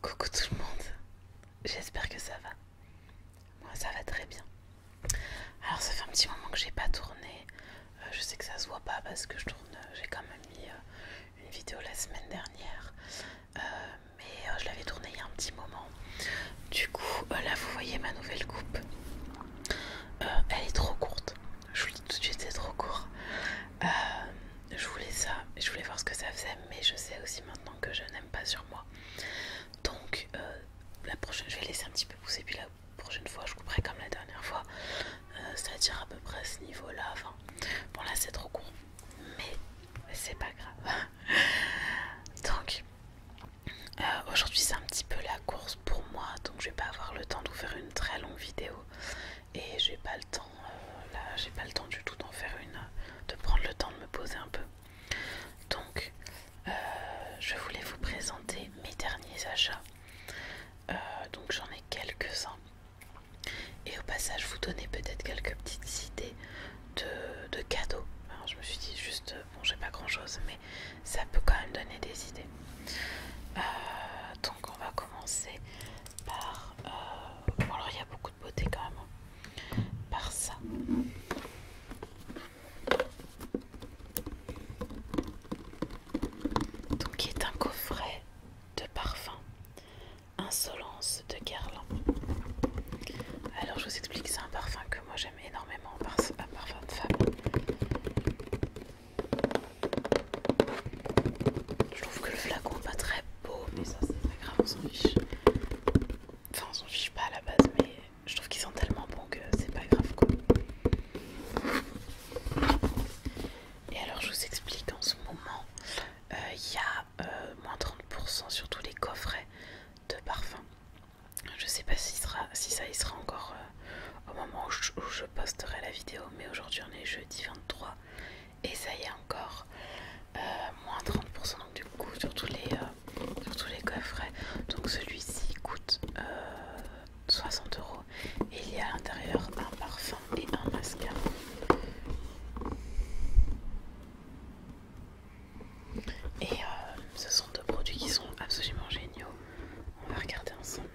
Coucou tout le monde, j'espère que ça va. Moi ça va très bien. Alors ça fait un petit moment que j'ai pas tourné. Euh, je sais que ça se voit pas parce que je tourne, j'ai quand même mis euh, une vidéo la semaine dernière. Euh, mais je l'avais tournée il y a un petit moment. Du coup là vous voyez ma nouvelle coupe. elle est trop courte. Je vous le dis tout de suite c'est trop court je voulais ça, je voulais voir ce que ça faisait, mais je sais aussi maintenant que je n'aime pas sur moi. Donc, euh, la prochaine, je vais laisser un petit peu pousser, puis la prochaine fois, je couperai comme la dernière fois, euh, c'est-à-dire à peu près ce niveau-là. Enfin, bon, là, c'est trop court, mais c'est pas grave. donc, euh, aujourd'hui, c'est un petit peu la course pour moi, donc je vais pas avoir le temps de vous faire une très longue vidéo et j'ai pas le temps là, j'ai pas le temps du tout d'en faire une, de prendre le temps de me poser un peu. Donc, euh, je voulais vous présenter mes derniers achats. Euh, donc, j'en ai quelques-uns. Et au passage, vous donner peut-être quelques petites idées de, cadeaux. Hein, je me suis dit juste, euh, bon, j'ai pas grand-chose, mais ça peut quand même donner des idées. donc, on va commencer par. alors, il y a beaucoup beauté quand même hein, par ça. Donc qui est un coffret de parfum Insolence de Guerlain. Alors je vous explique, c'est un parfum que moi j'aime énormément, un parfum de femme. Je trouve que le flacon n'est pas très beau, mais ça c'est pas grave, on s'en fiche. Enfin, on s'en fiche pas à la base, mais je trouve qu'ils sont tellement bons que c'est pas grave quoi. Et alors, je vous explique en ce moment, euh, il y a euh, moins 30% sur tous les coffrets de parfums. Je sais pas si, ça y sera encore euh, au moment je, où je posterai la vidéo, mais aujourd'hui on est jeudi 23 et ça y est encore euh, moins 30% du coup sur tous les, euh, sur tous les coffrets donc celui-ci coûte 60 euh, euros et il y a à l'intérieur un parfum et un mascara et ce sont deux produits qui sont absolument géniaux on va regarder ensemble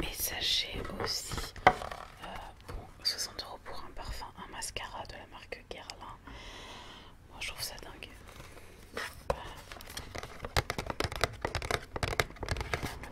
mais sachez aussi, 60 euh, euros pour un parfum, un mascara de la marque Guerlain. Moi je trouve ça dingue. Le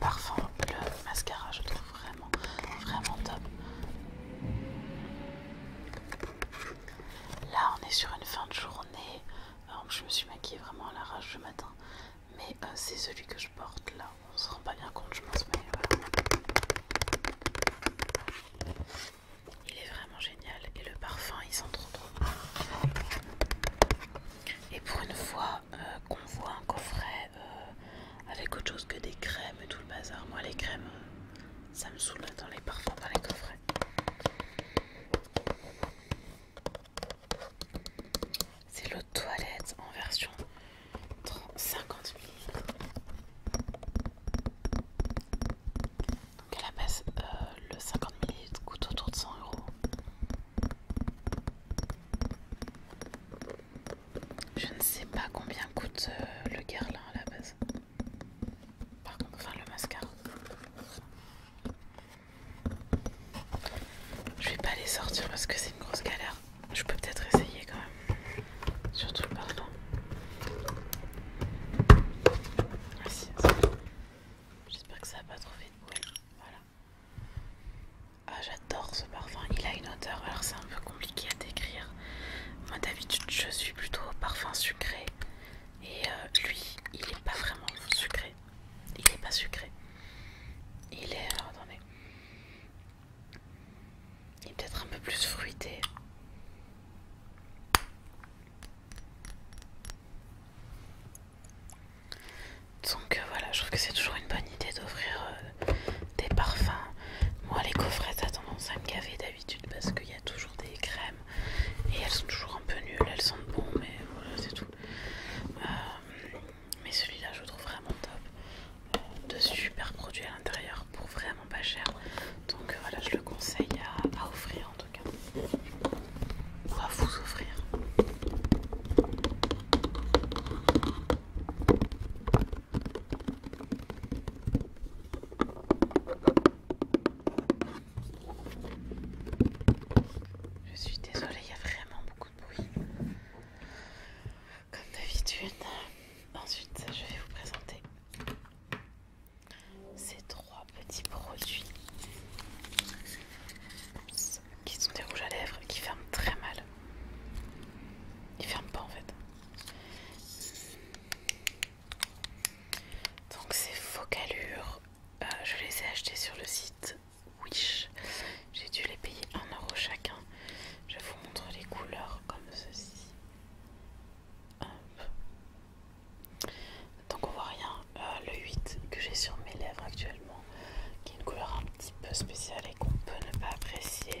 parfum, le mascara, je trouve vraiment, vraiment top. Là, on est sur une fin de journée. je me suis maquillée vraiment à l'arrache ce matin, mais euh, c'est celui que je porte là on se rend pas bien compte, je pense, mais voilà. Il est vraiment génial et le parfum il sent trop trop Et pour une fois euh, qu'on voit un coffret euh, avec autre chose que des crèmes et tout le bazar, moi les crèmes ça me saoule dans les parfums, dans les coffrets. C'est l'eau de toilette en version 50 ml. Donc à la base, le 50 ml coûte autour de 100 euros. Je ne sais pas combien coûte euh, le Guerlain à la base. Par contre, enfin le mascara. Je vais pas les sortir parce que c'est une grosse galère. Je peux peut-être essayer quand même. Surtout le parfum. Ah, J'espère que ça n'a pas trop de bruit. Voilà. Ah, j'adore ce parfum. Il a une odeur. Alors, c'est un peu compliqué à décrire. Moi, d'habitude, je suis plutôt au parfum sucré. Et euh, lui, il est pas vraiment sucré. Il n'est pas sucré. Il est... attendez. Il est peut-être un peu plus fruité. Donc euh, voilà, je trouve que c'est toujours une bonne idée d'offrir euh, des parfums. Moi, les coffrets, a tendance à me gaver d'habitude parce qu'il y a toujours des crèmes et elles sont toujours un peu nulles, elles sentent bon, mais voilà, c'est tout. Euh, mais celui-là, je le trouve vraiment top. de super produits à l'intérieur pour vraiment pas cher. Donc euh, voilà, je le conseille à, à offrir en tout cas. Ou à vous offrir. Je suis désolée, il y a vraiment beaucoup oui, Comme d'habitude. Ensuite, je vais vous présenter ces trois petits produits qui sont des rouges à lèvres qui ferment très mal. Ils ferment pas en fait. Donc ces faux-calures, euh, je les ai achetés sur le site Wish. J'ai dû les payer 1€ chacun. Je vous montre les couleurs comme ceci. Hop. Donc on voit rien. Euh, le 8 que j'ai sur mes lèvres actuellement, qui est une couleur un petit peu spéciale et qu'on peut ne pas apprécier.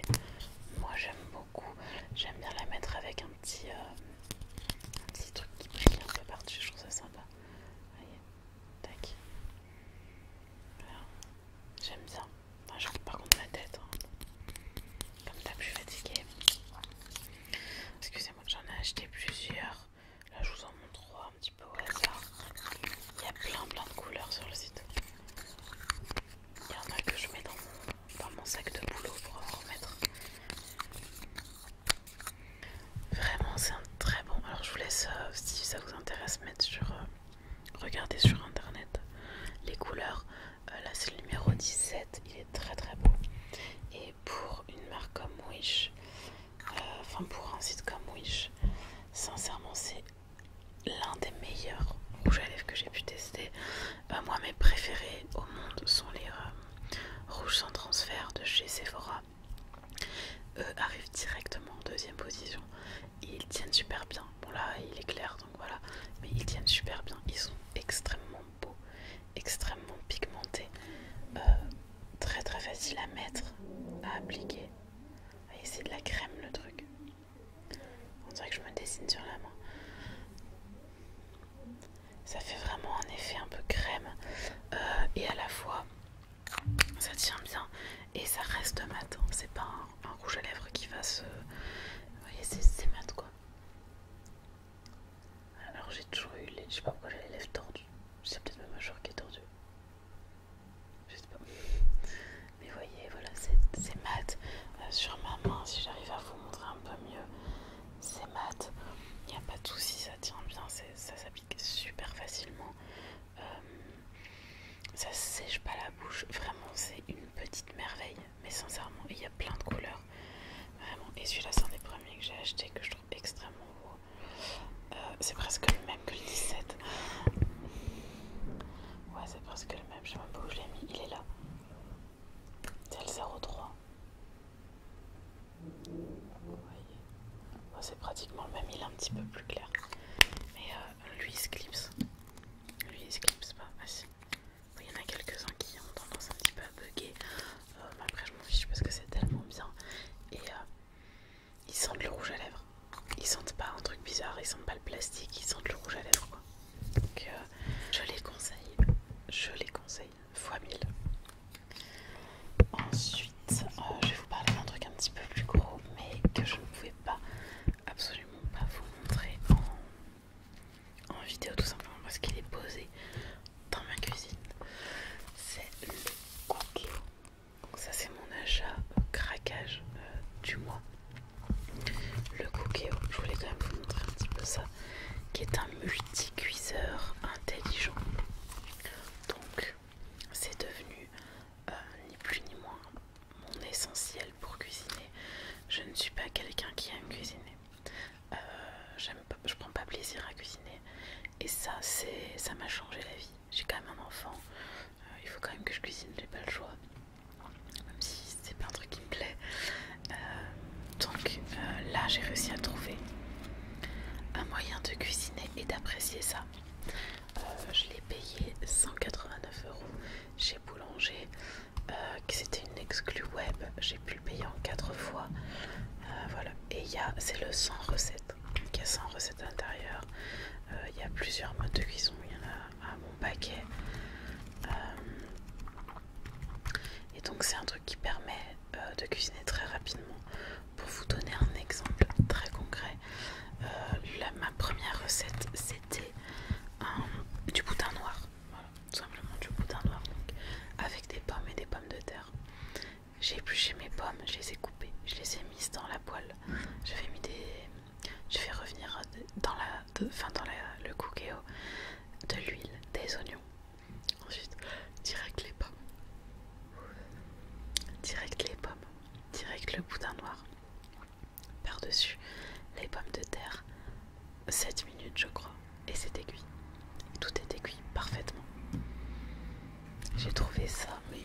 Moi j'aime beaucoup. J'aime bien la mettre avec un petit, euh, truc qui brille un peu partout. Je trouve ça sympa. Tac. J'aime bien. Enfin, je par contre ma tête. Hein. Comme t'as je suis fatiguée. Excusez-moi, j'en ai acheté plusieurs. Là, je vous en montre trois un petit peu au hasard. Il y a plein plein de couleurs sur le site. Il y en a que je mets dans dans mon sac de boulot pour en remettre. Vraiment, c'est un très bon. Alors, je vous laisse, euh, si ça vous intéresse, mettre sur. Euh, sur internet les couleurs. Euh, là, c'est le numéro 17. Il est très très beau. Et pour une marque comme Wish, enfin, pour un site comme Wish, sincèrement, c'est l'un des meilleurs rouges à lèvres que j'ai pu tester. moi, mes préférés au monde sont les rouges sans transfert de chez Sephora. Eux arrivent directement en deuxième position et ils tiennent super bien. Bon là il est clair donc voilà, mais ils tiennent super bien. Ils sont extrêmement beaux, extrêmement pigmentés, euh, très très facile à mettre, à appliquer. Ah, c'est de la crème le truc. On dirait que je me dessine sur la main. Ça fait vraiment un effet un peu crème euh, et à la fois ça tient bien et ça reste mat. Hein. C'est pas un, rouge à lèvres qui va se. Vous voyez, c'est mat quoi. Alors j'ai toujours eu les. Je sais pas pourquoi j'ai les lèvres tordues. C'est peut-être ma mâchoire qui est tordue. Je sais pas. Mais vous voyez, voilà, c'est mat. Euh, sur ma main, si j'arrive à vous montrer un peu mieux, c'est mat. Il n'y a pas de souci, ça tient bien, ça s'applique super facilement. Euh, ça sèche pas la bouche, vraiment c'est une petite merveille. Mais sincèrement, il y a plein de couleurs. Vraiment. Et celui-là, c'est un des premiers que j'ai acheté que je trouve extrêmement beau. Euh, c'est presque le même que le 17. Ouais, c'est presque le même. Je sais même où je l'ai mis. Il est là. C'est le 03 c'est pratiquement le même, il est un petit peu plus clair. Mais euh, lui il se Lui il se pas. Ah, si. Il y en a quelques-uns qui ont tendance un petit peu à bugger. Euh, mais après je m'en fiche parce que c'est tellement bien. Et euh, ils sentent le rouge à lèvres. Ils sentent pas un truc bizarre, ils sentent pas le plastique, ils sentent le rouge à lèvres quoi. Donc je les conseille. Je les conseille. Fois 1000. Ensuite, euh, je vais vous parler d'un truc un petit peu plus gros, mais que je ne pouvais pas, absolument pas vous montrer en, vidéo, tout simplement parce qu'il est posé dans ma cuisine. C'est le Cookéo Donc ça c'est mon achat craquage euh, du mois. Le Cookéo je voulais quand même vous montrer un petit peu ça, qui est un multicuiseur intelligent. Donc c'est devenu euh, ni plus ni moins mon essentiel pour cuisiner. Je ne suis pas quelqu'un qui aime cuisiner. Euh, je pas, je prends pas plaisir à cuisiner. Et ça, c'est, ça m'a changé la vie. J'ai quand même un enfant. Euh, il faut quand même que je cuisine, j'ai pas le choix. Même si c'est pas un truc qui me plaît. donc là, j'ai réussi à trouver un moyen de cuisiner et d'apprécier ça. Euh, je l'ai payé 189 euros chez Boulanger, euh, c'était une exclue web. J'ai pu le payer en 4 fois. Euh, et il y a, c'est le 100 recettes. Il y a 100 recettes à l'intérieur. Il y a plusieurs modes de cuisson. Il y en a un mon paquet. et donc, c'est un truc qui permet de cuisiner très rapidement. Pour vous donner un exemple très concret, euh, ma première recette c'était du boutin noir. Voilà, tout simplement du boudin noir, avec des pommes et des pommes de terre. J'ai épluché mes pommes, je les ai coupées, je les ai mises dans la poêle. Je vais revenir dans la, dans le cookéo de l'huile, des oignons. Ensuite, direct les pommes. Direct les pommes, direct le boudin noir. Par-dessus, les pommes de terre. 7 minutes, je crois. Et c'est aiguille. Tout est aiguille parfaitement. J'ai trouvé ça, mais,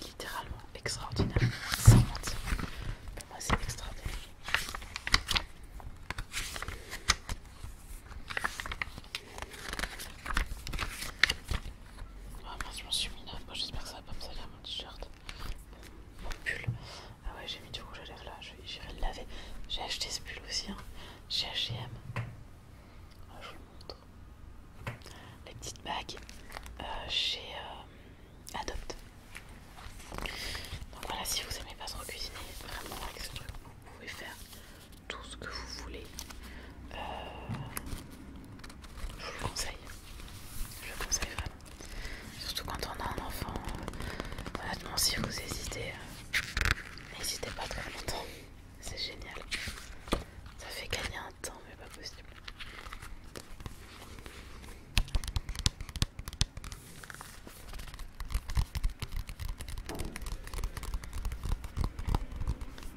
littéralement extraordinaire. Sans mentir. Pour moi, c'est extraordinaire. Ah je m'en suis mis là. Bon, j'espère que ça va pas me salir mon t-shirt. Mon pull. Ah ouais, j'ai mis du rouge à lèvres là. J'irai le laver. J'ai acheté ce pull aussi. Hein. Chez HM. je vous montre. Les petites bagues euh, chez euh, Adopt. Donc voilà, si vous aimez pas trop cuisiner, vraiment avec ce truc, vous pouvez faire tout ce que vous voulez. Euh, je vous le conseille. Je le conseille vraiment. Surtout quand on a un enfant. Euh, honnêtement, si vous hésitez, euh, n'hésitez pas trop longtemps. C'est génial. Ça fait gagner un temps, mais pas possible.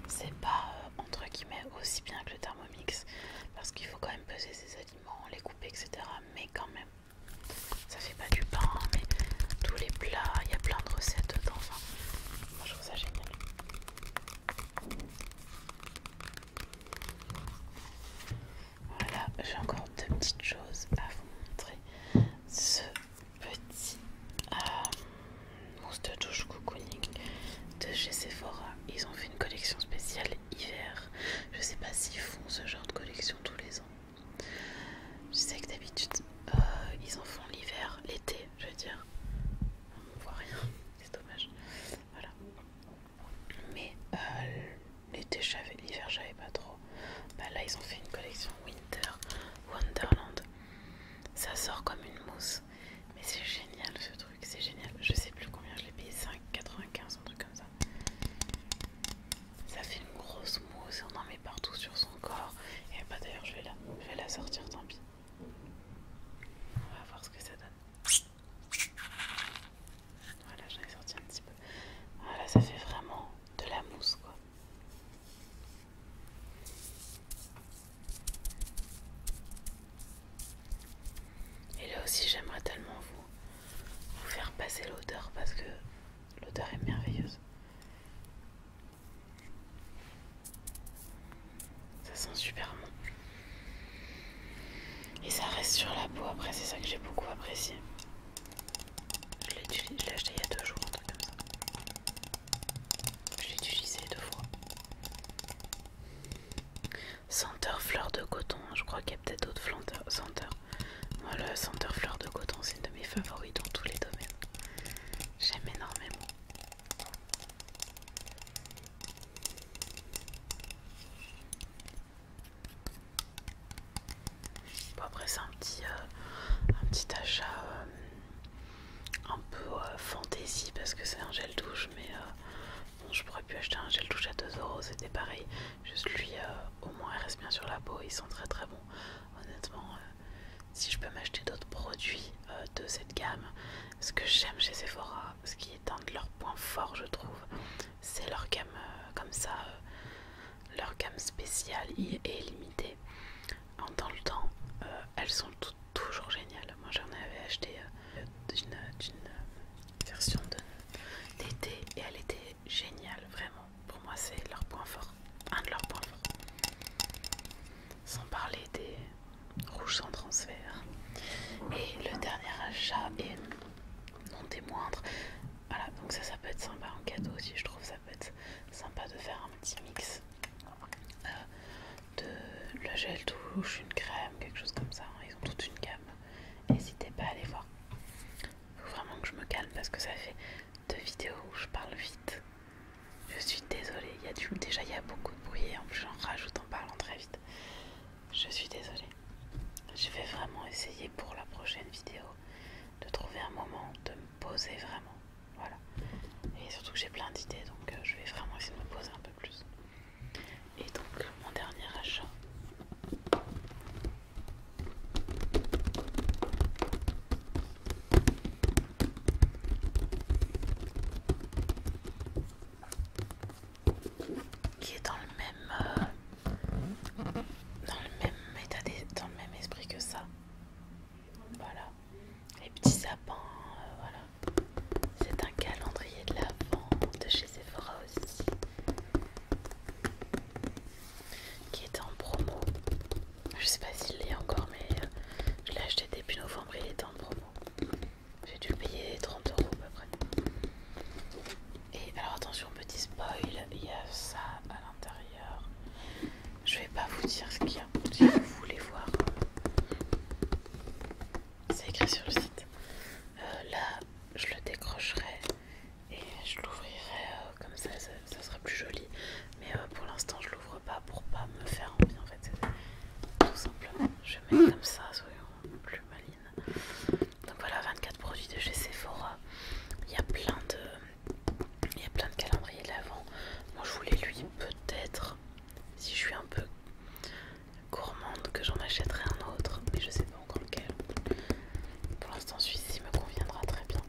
C'est pas euh, entre guillemets aussi bien que le Thermomix parce qu'il faut quand même peser ses aliments, les couper, etc. Mais quand même, ça fait pas du pain, mais tous les plats, il y a plein de recettes dedans. moi je trouve ça génial. Voilà, j'ai encore deux petites choses à vous montrer. Ce petit euh, mousse de douche cocooning de chez Sephora. Ils ont fait une collection spéciale hiver. Je sais pas s'ils font ce genre de collection tous les ans. Je sais que d'habitude euh, ils en font l'hiver, l'été, je veux dire. On voit rien, c'est dommage. Voilà. Mais euh, l'été, j'avais, l'hiver, j'avais pas trop. Bah, là, ils ont fait une collection Winter Wonderland. Ça sort comme une mousse. Mais c'est génial ce truc, c'est génial. Je sais plus combien je l'ai payé, 5,95, un truc comme ça. Ça fait une grosse mousse, on en met partout sur son corps. Et bah d'ailleurs je vais la, je vais la sortir, tant pis. On va voir ce que ça donne. Voilà, j'en ai sorti un petit peu. Voilà, ah ça fait vraiment de la mousse quoi. Et là aussi j'aimerais tellement vous, faire passer l'odeur parce que l'odeur est merveilleuse. Ça sent super bon. Et ça reste sur la peau après, c'est ça que j'ai beaucoup apprécié. Je l'ai acheté il y a deux jours, un truc comme ça. Je l'ai utilisé deux fois. Senteur fleur de coton. Je crois qu'il y a peut-être d'autres senteurs. Moi, le senteur fleur de coton, c'est une de mes favoris dans tous les domaines. J'aime énormément. après, c'est un, petit, euh, un petit achat euh, un peu fantasy euh, fantaisie parce que c'est un gel douche, mais euh, bon, je pourrais plus acheter un gel douche à 2€, c'était pareil. Juste lui, euh, au moins, il reste bien sur la peau, ils sont très très bons. Honnêtement, si je peux m'acheter d'autres produits de cette gamme, ce que j'aime chez Sephora, ce qui est un de leurs points forts, je trouve, c'est leur gamme comme ça. leur gamme spéciale est limitée en dans le temps, euh, elles sont toujours géniales. Moi j'en avais acheté euh, d'une euh, version d'été et elle était géniale, vraiment. Pour moi c'est leur point fort, un de leurs points forts. Sans parler des rouges sans transfert. Et le dernier achat est non des moindres. Voilà, donc ça ça peut être sympa en cadeau aussi, je trouve ça peut être sympa de faire un petit mix euh, de le gel douche, une crème, quelque chose comme ça. Hein. Ils ont toute une gamme. N'hésitez pas à aller voir. Il Faut vraiment que je me calme parce que ça fait deux vidéos où je parle vite. Je suis désolée. Déjà, il y a beaucoup de bruit et en plus, j'en rajoute en parlant très vite. Je suis désolée. Je vais vraiment essayer pour la prochaine vidéo de trouver un moment de me poser vraiment voilà. Et surtout que j'ai plein d'idées, donc euh, je vais vraiment essayer de me poser un peu plus. Et donc mon dernier achat. Qui est dans le même euh, dans le même dans le même esprit que ça, voilà, les petits sapins, euh, voilà. C'est un calendrier de la de chez Sephora aussi, qui est en promo. Je sais pas s'il l'est encore, mais euh, je l'ai acheté début novembre, il était en promo. J'ai dû le payer 30 euros à peu près. Et alors attention, petit spoil, il y a ça à l'intérieur. Je vais pas vous dire ce qu'il y a si vous voulez voir. Euh, c'est écrit sur le site. Euh, là, je le décrocherai et je l'ouvrirai euh, comme ça, ça, sera plus joli. Mais pour l'instant, je l'ouvre pas pour pas me faire envie en fait. Tout simplement, je mets comme ça, soyons plus malines. Donc voilà, 24 produits de chez Sephora. Il y a plein de il y a plein de calendriers de l'avant. Moi, je voulais lui peut-être, si je suis un peu gourmande, que j'en achèterai un autre, mais je sais pas encore lequel. Pour l'instant, celui-ci me conviendra très bien.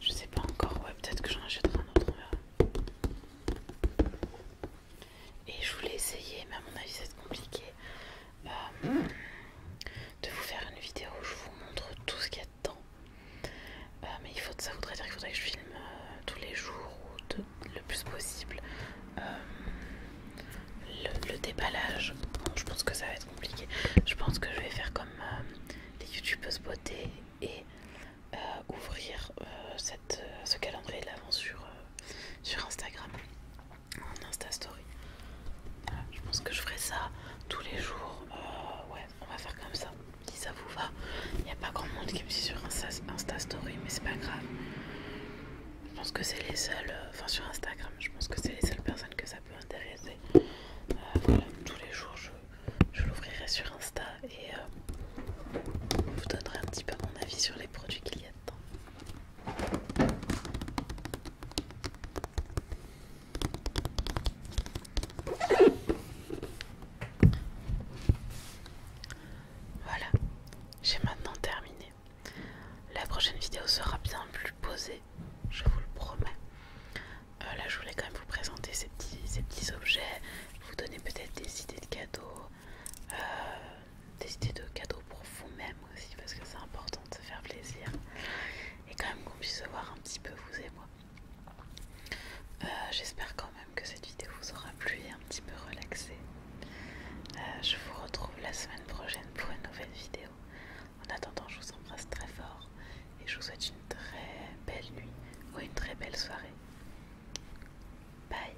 Je sais pas encore, ouais, peut-être que j'en achèterai un autre, Et je voulais essayer, mais à mon avis, c'est compliqué. Bah, hmm, de vous faire une vidéo où je vous montre tout ce qu'il y a dedans. Euh, mais il faut, ça voudrait dire qu'il faudrait que je filme euh, tous les jours ou le plus possible euh, le, déballage. je pense que ça va être compliqué. Je pense que je vais faire comme les des youtubeuses beauté et ouvrir ce calendrier de l'avant sur Instagram en Insta Story. je pense que je ferai ça tous les jours. Euh, ouais, on va faire comme ça. Si ça vous va, il n'y a pas grand monde qui me suit sur Insta, Story, mais c'est pas grave. Je pense que c'est les seuls, euh, enfin sur Instagram, je pense que c'est les seules personnes que ça peut intéresser. Euh, voilà, tous les jours, je, l'ouvrirai sur Insta et vous donnerai un petit peu mon avis sur les produits qu'il y a dedans. Voilà, j'ai maintenant terminé. La prochaine vidéo sera bien plus posée, je vous le promets. Euh, là, je voulais quand même vous présenter ces petits, objets, vous donner peut-être des idées de cadeaux. Euh, des idées de cadeaux pour vous-même aussi, parce que c'est important de se faire plaisir et quand même qu'on puisse se voir un petit peu, vous et moi. Euh, j'espère quand même que cette vidéo vous aura plu et un petit peu relaxé. Euh, je vous retrouve la semaine prochaine pour une nouvelle vidéo. En attendant, je vous embrasse très fort et je vous souhaite une très belle nuit ou une très belle soirée. Bye